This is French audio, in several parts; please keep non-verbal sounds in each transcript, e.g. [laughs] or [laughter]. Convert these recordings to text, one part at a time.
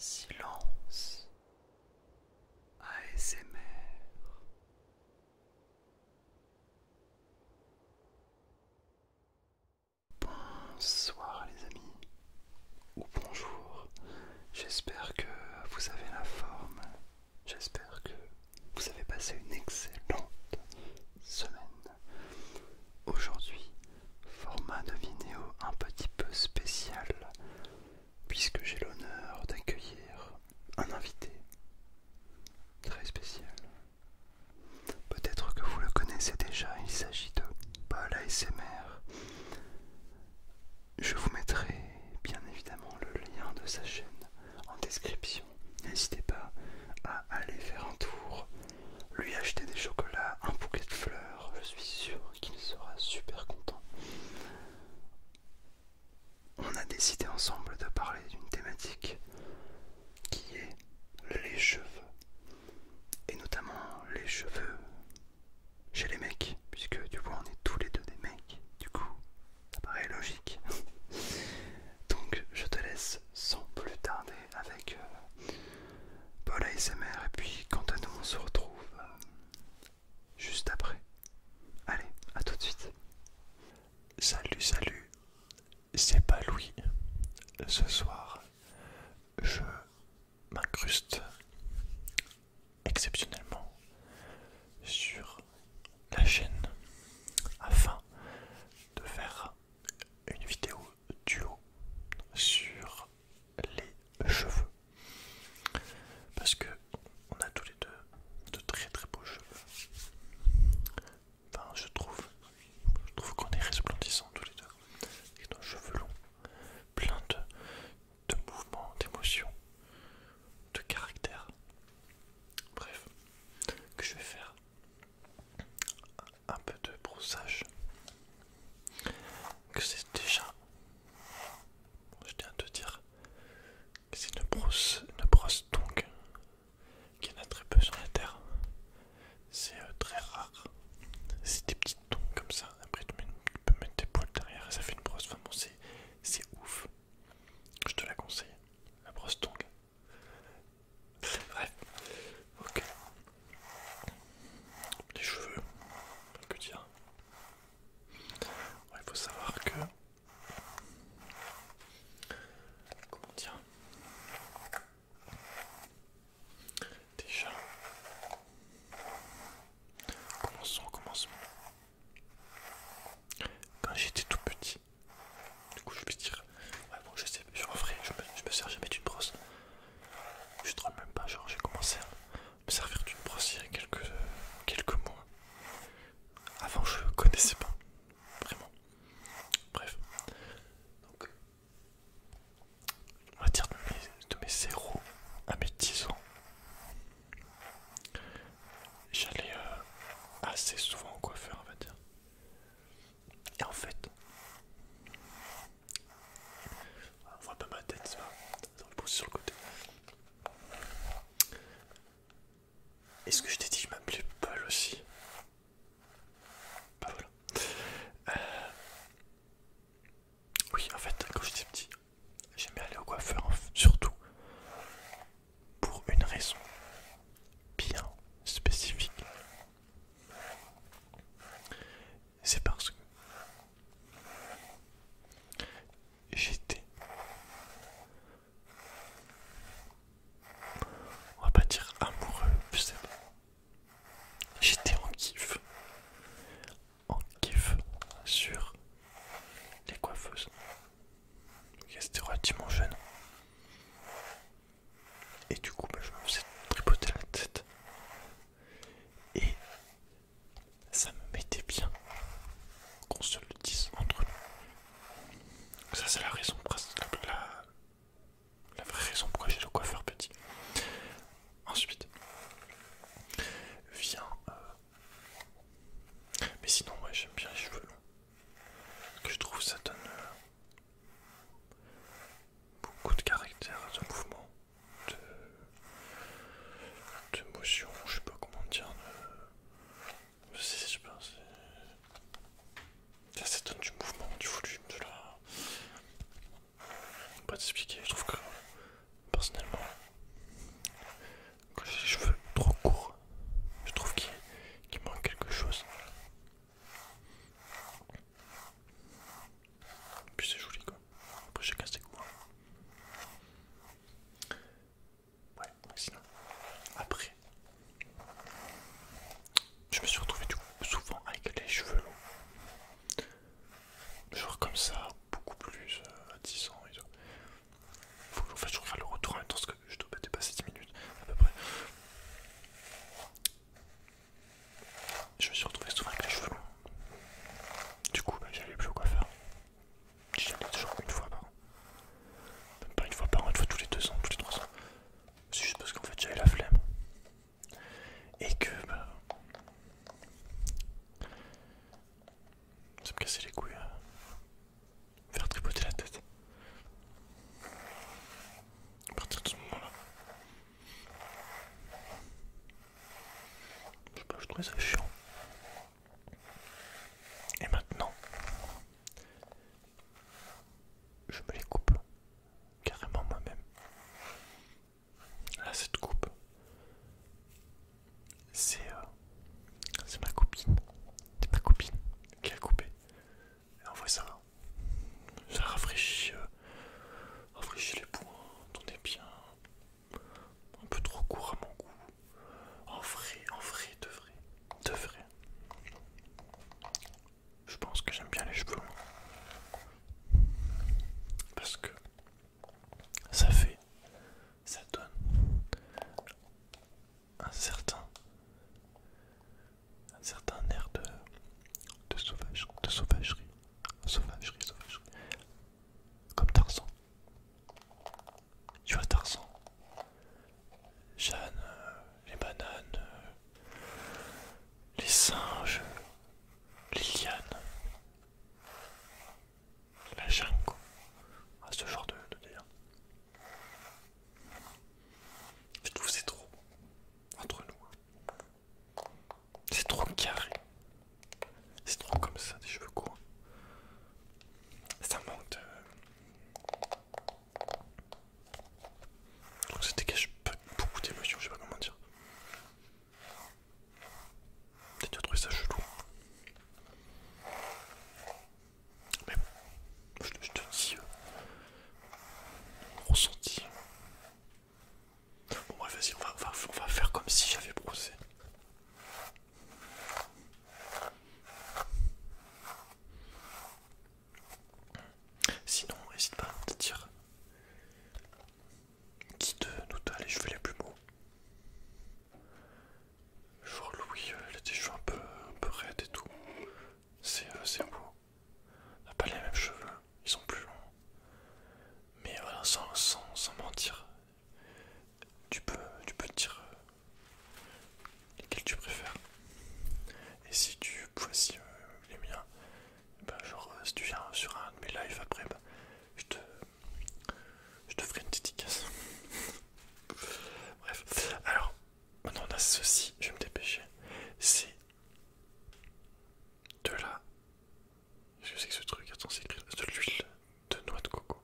Silence ASMR Bonsoir les amis ou bonjour j'espère que vous avez la forme j'espère que vous avez passé une excellente semaine Aujourd'hui, format de vidéo un petit peu spécial, puisque j'ai l'honneur d'accueillir un invité très spécial. Peut-être que vous le connaissez déjà, il s'agit de Paul ASMR. Je vous mettrai bien évidemment le lien de sa chaîne en description. N'hésitez pas à aller faire un tour lui acheter des chocolats, un bouquet de fleurs, je suis sûr qu'il sera super content. On a décidé ensemble de parler d'une thématique qui est les cheveux, et notamment les cheveux chez les mecs, puisque du coup on est tous les deux des mecs, du coup ça paraît logique. [laughs] Donc je te laisse sans plus tarder avec euh, Paul ASMR. Et puis, quand à nous, on se retrouve euh, juste après. Allez, à tout de suite. Salut, salut, c'est pas Louis. Ce soir, je m'incruste exceptionnellement sur la chaîne afin de faire une vidéo duo sur les cheveux parce que on a tous les deux de très très beaux cheveux enfin je trouve je trouve qu'on est resplendissants tous les deux avec nos cheveux longs plein de, de mouvements d'émotions de caractère bref que je vais faire un peu de broussage que c'est déjà je tiens à te dire que c'est une brosse une brosse qu'il y en a très peu sur la terre c'est euh, très rare c'est des petites tongs comme ça après tu, peux mettre tes poils derrière et ça fait une brosse enfin bon c'est ouf je te la conseille la brosse tongue Bref, ok. Les cheveux, que dire Il faut savoir que. Comment dire Déjà, commençons commençons Quand j'étais tout petit, du coup, je vais dire, ouais, bon, je sais, je, en je me, sers jamais d'une brosse. Je drôle même pas, genre, j'ai commencé à me servir d'une brosse il y a quelques, quelques mois. Avant, je connaissais pas, vraiment. Bref, donc, on va dire de mes, 0 à mes 10 ans. J'allais euh, assez souvent au coiffeur, on va dire. Et en fait, on voit pas ma tête, ça pas Ça le sur le côté. Est-ce que je t'ai dit que je m'appelais Paul aussi Bah voilà. Euh, oui, en fait, quand j'étais petit, j'aimais aller au coiffeur, surtout pour une raison bien spécifique. C'est parce que j'étais, on va pas dire amoureux, c'est bon, j'étais en kiff, en kiff sur les coiffeuses. C'était relativement jeune. Et du coup, bah, je me faisais tripoter la tête. Et ça me mettait bien qu'on se le dise entre nous. Ça, c'est la raison, pour la, vraie raison pourquoi j'ai le coiffeur petit. Ensuite, viens... Euh, mais sinon, moi, j'aime bien les cheveux longs que je trouve ça donne euh, beaucoup de caractère, de mouvement, de, motion, je sais pas comment dire. De... ça, donne du mouvement, du volume, de la. Pas t'expliquer, je trouve que personnellement, quand j'ai les cheveux trop courts, je trouve qu'il manque quelque chose. puis c'est joli quoi. Après j'ai cassé quoi. Ouais, sinon. Après, je me suis retrouvé du coup, souvent avec les cheveux longs. Genre comme ça, beaucoup plus euh, à 10 ans Faut, en le retour en même je dois passer 10 minutes à peu près. Je me suis retrouvé souvent avec les cheveux Du coup, j'avais plus au coiffeur. J'y allais toujours une fois par an. Même pas une fois par an, une fois tous les deux ans, tous les trois ans. C'est juste parce qu'en fait j'avais la flemme. Et que bah, Ça me cassait les couilles. Hein. Faire tripoter la tête. À partir de ce moment-là. Je trouve trouvais ça chiant. Et maintenant, je me les coupe carrément moi-même. Là, cette coupe, euh, c'est ma copine. C'est ma copine qui a coupé. Et en voit ça Ça rafraîchit, euh, rafraîchit les points. On est bien. Un peu trop court à mon goût. En vrai, en vrai, de vrai. De vrai. Je pense que j'aime bien les cheveux Parce que ça fait, ça donne un certain, un certain air de, de sauvagerie, de sauvagerie, sauvagerie, sauvagerie, comme Tarzan. Tu vois Tarzan, Jeanne, euh, les bananes, euh, les singes, les lianes la jungle, à ah, ce genre de, délire. Je trouve c'est trop entre nous. Hein. C'est trop carré. C'est trop comme ça, des cheveux courts. Ça manque de. Donc ça dégage beaucoup d'émotions, je sais pas comment dire. T'as déjà trouvé ça chelou mais je, te dis euh, ressenti. Bon bref, vas-y, on va, faire comme si j'avais brossé. Sinon, n'hésite pas à me dire qui de nous t'a les cheveux les plus beaux. Genre Louis, euh, il a des cheveux un peu, un peu raides et tout. C'est euh, beau. Il n'a pas les mêmes cheveux, hein. ils sont plus longs. Mais voilà, sans, sans, mentir, tu peux, tu peux dire euh, lesquels tu préfères. Et si tu voici les miens, ben, genre si tu viens sur un de mes lives après, ben, je te je te ferai une dédicace. Bref. Alors, maintenant on a ceci, je vais me dépêcher. C'est de la... Je sais que c'est que ce truc Attends, c'est de l'huile de noix de coco.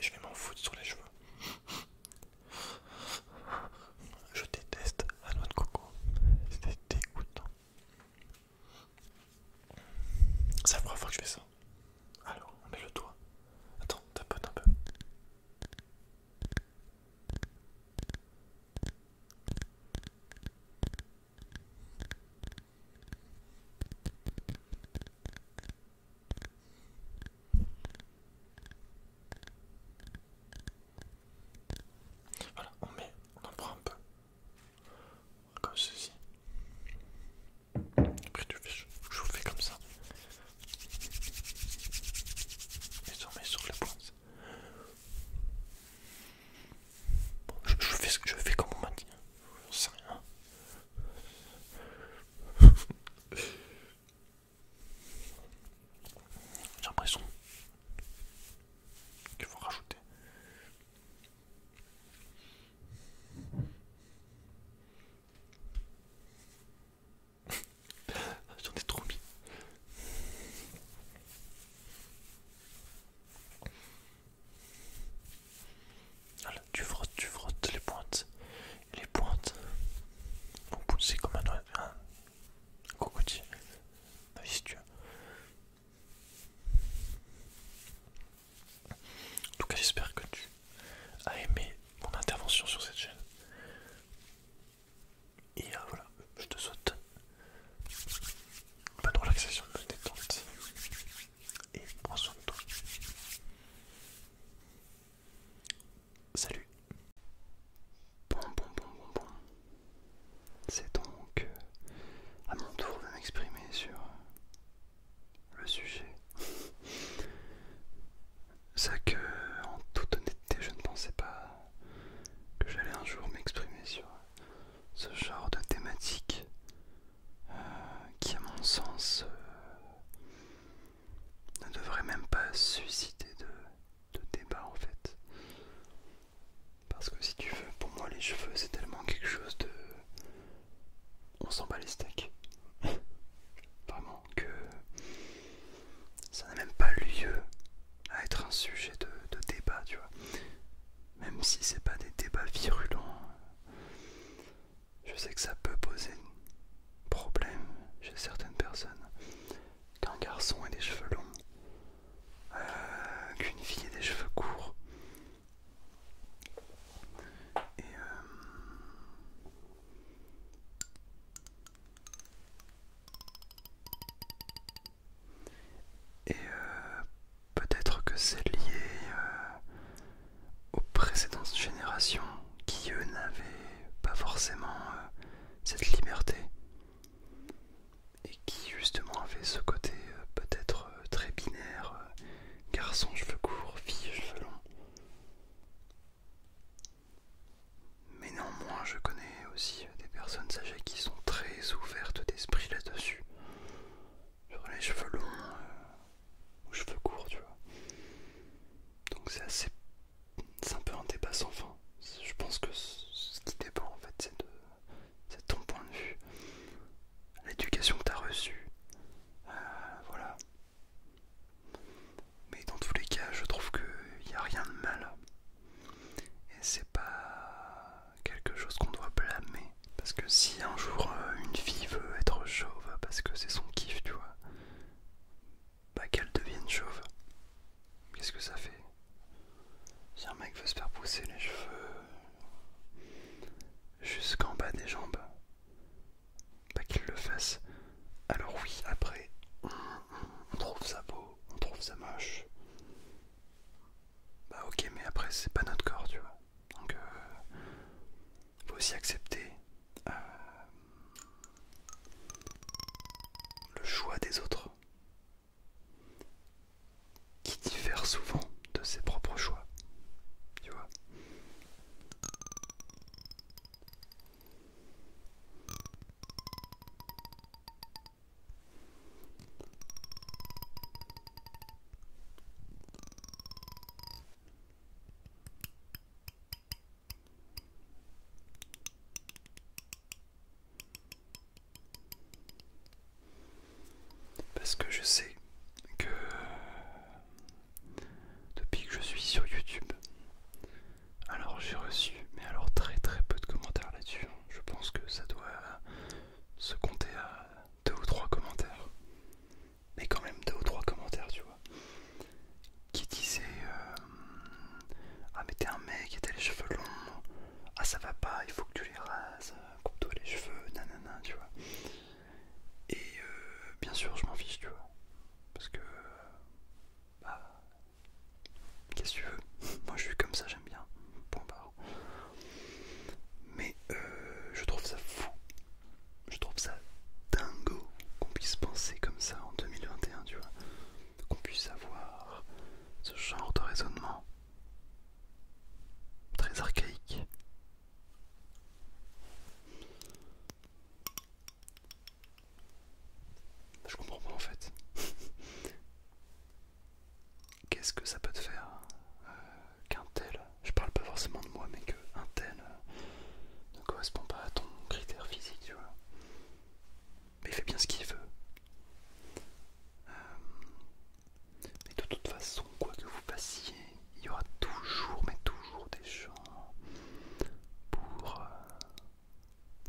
Je vais m'en foutre sur les cheveux. Je déteste la noix de coco. C'est dégoûtant. C'est la première fois que je fais ça. Alors, on met le doigt. Attends, tapote un peu. Voilà, on met, on en prend un peu. Comme ceci. Après tu fais comme ça. Et on sur les points. je, fais ce que je fais comme on m'a dit. Hein. J'en sais rien. J'ai l'impression qu'il faut rajouter ah, j'en ai trop mis. tu frottes, tu frottes les pointes. les pointes vont pousser comme un, un, un cocotier. Ah, si tu en tout cas, j'espère que tu as aimé mon intervention sur cette chaîne. Et euh, voilà, je te souhaite pas bonne relaxation, une détente. Et prends soin de toi. Salut. C'est donc euh, à mon tour de m'exprimer sur euh, le sujet. Ça [laughs] que, en toute honnêteté, je ne pensais pas que j'allais un jour m'exprimer sur euh, ce genre de thématique qui, à mon sens, ne devrait même pas susciter de débat en fait. Parce que si tu veux, pour moi les cheveux c'est tellement quelque chose de... On s'en bat les steaks. [laughs] Vraiment que ça n'a même pas lieu à être un sujet de, débat, tu vois. Même si c'est pas des débats virulents. Je sais que ça peut poser problème chez certaines personnes. Qu'un garçon ait des cheveux longs, euh, qu'une fille ait des cheveux courts. Et, euh, euh, peut-être que c'est lié aux précédentes générations qui, eux, n'avaient pas forcément cette liberté et qui justement avait ce côté euh, peut-être euh, très binaire, euh, garçon cheveux courts, fille cheveux longs. Mais néanmoins, je connais aussi des personnes âgées qui sont très ouvertes d'esprit là-dessus. Sur les cheveux longs ou cheveux courts, tu vois. Donc c'est assez... c'est un peu un débat sans fin. Je pense que ce qui dépend en fait, c'est de c'est ton point de vue, l'éducation que tu as reçue, euh, voilà. Mais dans tous les cas, je trouve qu'il n'y a rien de mal. Et c'est pas quelque chose qu'on doit blâmer. Parce que si un jour euh, une fille veut être chauve parce que c'est son kiff, tu vois, bah qu'elle devienne chauve. Qu'est-ce que ça fait si un mec veut se faire pousser les cheveux jusqu'en bas des jambes, pas bah qu'il le fasse. Alors oui, après, on, trouve ça beau, on trouve ça moche. Bah ok, mais après c'est pas notre corps, tu vois. Donc euh, faut aussi accepter euh, le choix des autres qui diffère souvent de ses propres choix. Tu vois parce que je sais que depuis que je suis sur YouTube, alors j'ai reçu, mais alors très très peu de commentaires là-dessus. Hein. Je pense que ça doit se compter à deux ou trois commentaires. Mais quand même deux ou trois commentaires, tu vois. Qui disaient... Euh, euh, ah, mais t'es un mec et t'as les cheveux longs. Ah, ça va pas, il faut que tu les rases. Coupe-toi euh, les cheveux, nanana, tu vois. Et euh, bien sûr, je m'en fiche, tu vois. Parce que. Bah. Qu'est-ce que tu veux [laughs] Moi, je suis comme ça, j'aime bien. Point bah. Mais je trouve ça fou. Je trouve ça dingo qu'on puisse penser comme ça en 2021, tu vois qu'on puisse avoir ce genre de raisonnement très archaïque. Je comprends pas en fait. [laughs] Qu'est-ce que ça peut te faire euh, qu'un tel, je parle pas forcément de moi, mais qu'un tel euh, ne correspond pas à ton critère physique, tu vois. Mais il fait bien ce qu'il veut. Euh, mais de toute façon, quoi que vous fassiez, il y aura toujours, mais toujours des gens pour euh,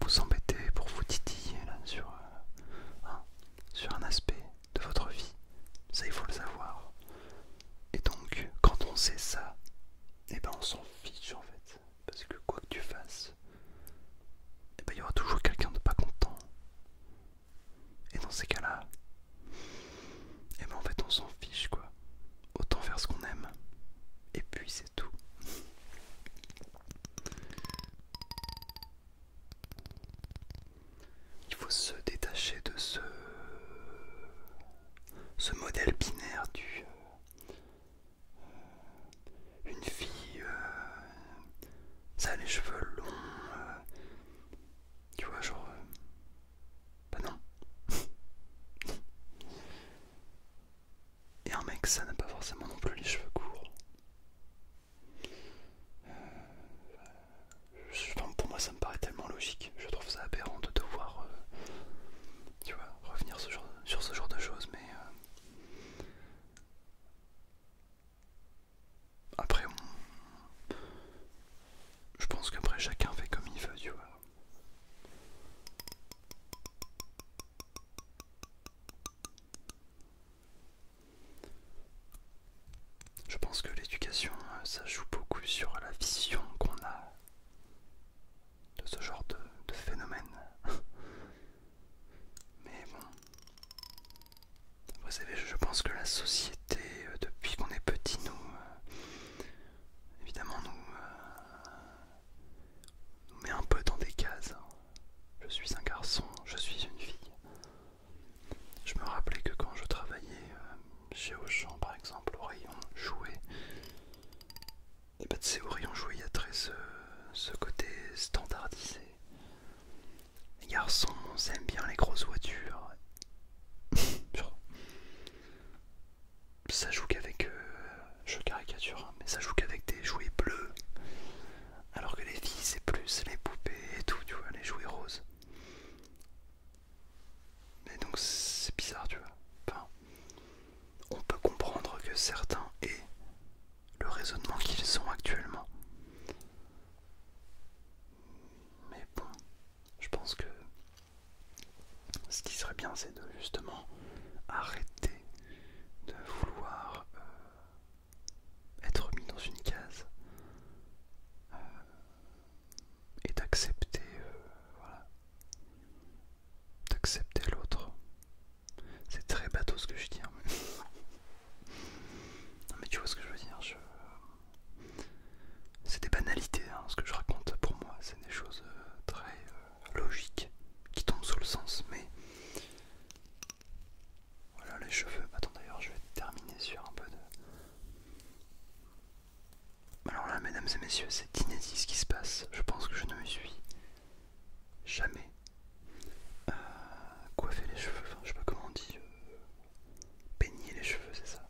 vous embêter, pour vous titiller là, sur, euh, hein, sur un aspect de votre vie. Ça, il faut le savoir. Et donc, quand on sait ça, eh ben on s'en fiche en fait. Parce que quoi que tu fasses, eh ben, il y aura toujours quelqu'un de pas content. Et dans ces cas-là, et eh ben en fait on s'en fiche quoi. Autant faire ce qu'on aime. Et puis c'est tout. Il faut se détacher de ce, modèle binaire du une fille, euh, ça a les cheveux longs, euh, tu vois, genre, euh, bah non. Et un mec, ça n'a pas forcément non plus les cheveux courts. pour moi, ça me paraît tellement logique. Je trouve ça aberrant de devoir, tu vois, revenir sur ce genre de choses. Euh, après je pense qu'après chacun fait comme il veut tu vois je pense que l'éducation euh, ça joue beaucoup sur la vision qu'on a de ce genre de, phénomène. [laughs] Mais bon, vous savez, je pense que la société, euh, depuis qu'on est petit, nous, euh, évidemment, nous, euh, nous met un peu dans des cases. Je suis un garçon, je suis une fille. Je me rappelais que quand je travaillais chez Auchan, par exemple, au rayon jouets, et bah, tu sais, à très ce, côté standardisé. Les garçons, aiment bien les grosses voitures. [laughs] ça joue qu'avec. Euh, je caricature, hein, mais ça joue qu'avec des jouets bleus. Alors que les filles, c'est plus les poupées et tout, tu vois, les jouets roses. Mais donc, c'est bizarre, tu vois. Enfin, on peut comprendre que certains aient le raisonnement qu'ils sont actuellement. Mais bon, je pense que ce qui serait bien, c'est de justement arrêter de vouloir euh, être mis dans une case euh, et d'accepter euh, voilà, d'accepter l'autre. C'est très bateau ce que je dis. Hein. mais... tu vois ce que je veux dire. C'est des banalités, hein, ce que je raconte pour moi. C'est des choses euh, très euh, logiques qui tombent sous le sens. Mais voilà les cheveux. Attends d'ailleurs, je vais terminer sur un peu de... Alors là, mesdames et messieurs, c'est inédit ce qui se passe. Je pense que je ne me suis jamais euh, coiffé les cheveux. Enfin, je sais pas comment on dit. Euh, peigner les cheveux, c'est ça.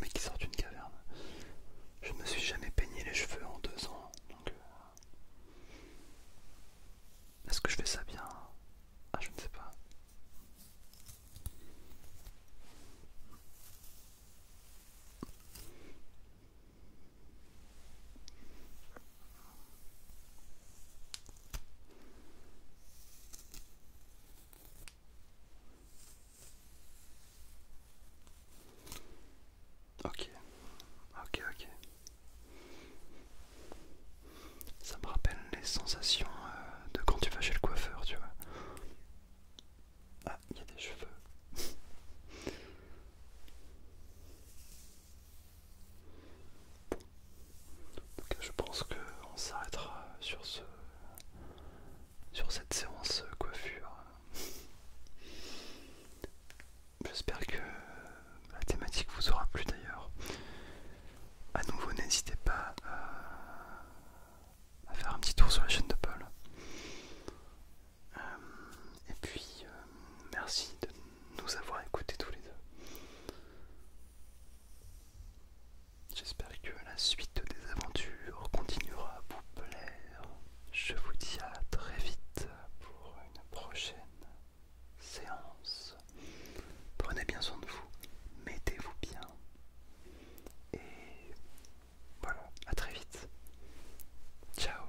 Mais qui sort d'une caverne. Je ne me suis jamais peigné les cheveux en deux ans. Donc, euh, est-ce que je fais ça bien Ah, je ne sais pas. Ok, ok, ok. Ça me rappelle les sensations euh, de quand tu vas chez le coiffeur, tu vois. Ah, il y a des cheveux. [laughs] je pense qu'on s'arrêtera sur ce sur cette séance coiffure. [laughs] J'espère que la thématique vous aura plu d'ailleurs. À nouveau, n'hésitez pas à à faire un petit tour sur la chaîne de Paul. Euh, et puis, euh, merci de nous avoir écoutés tous les deux. J'espère que la suite des aventures continuera à vous plaire. Je vous dis à très vite pour une prochaine séance. Prenez bien soin de vous, mettez-vous bien. Et voilà, à très vite. Ciao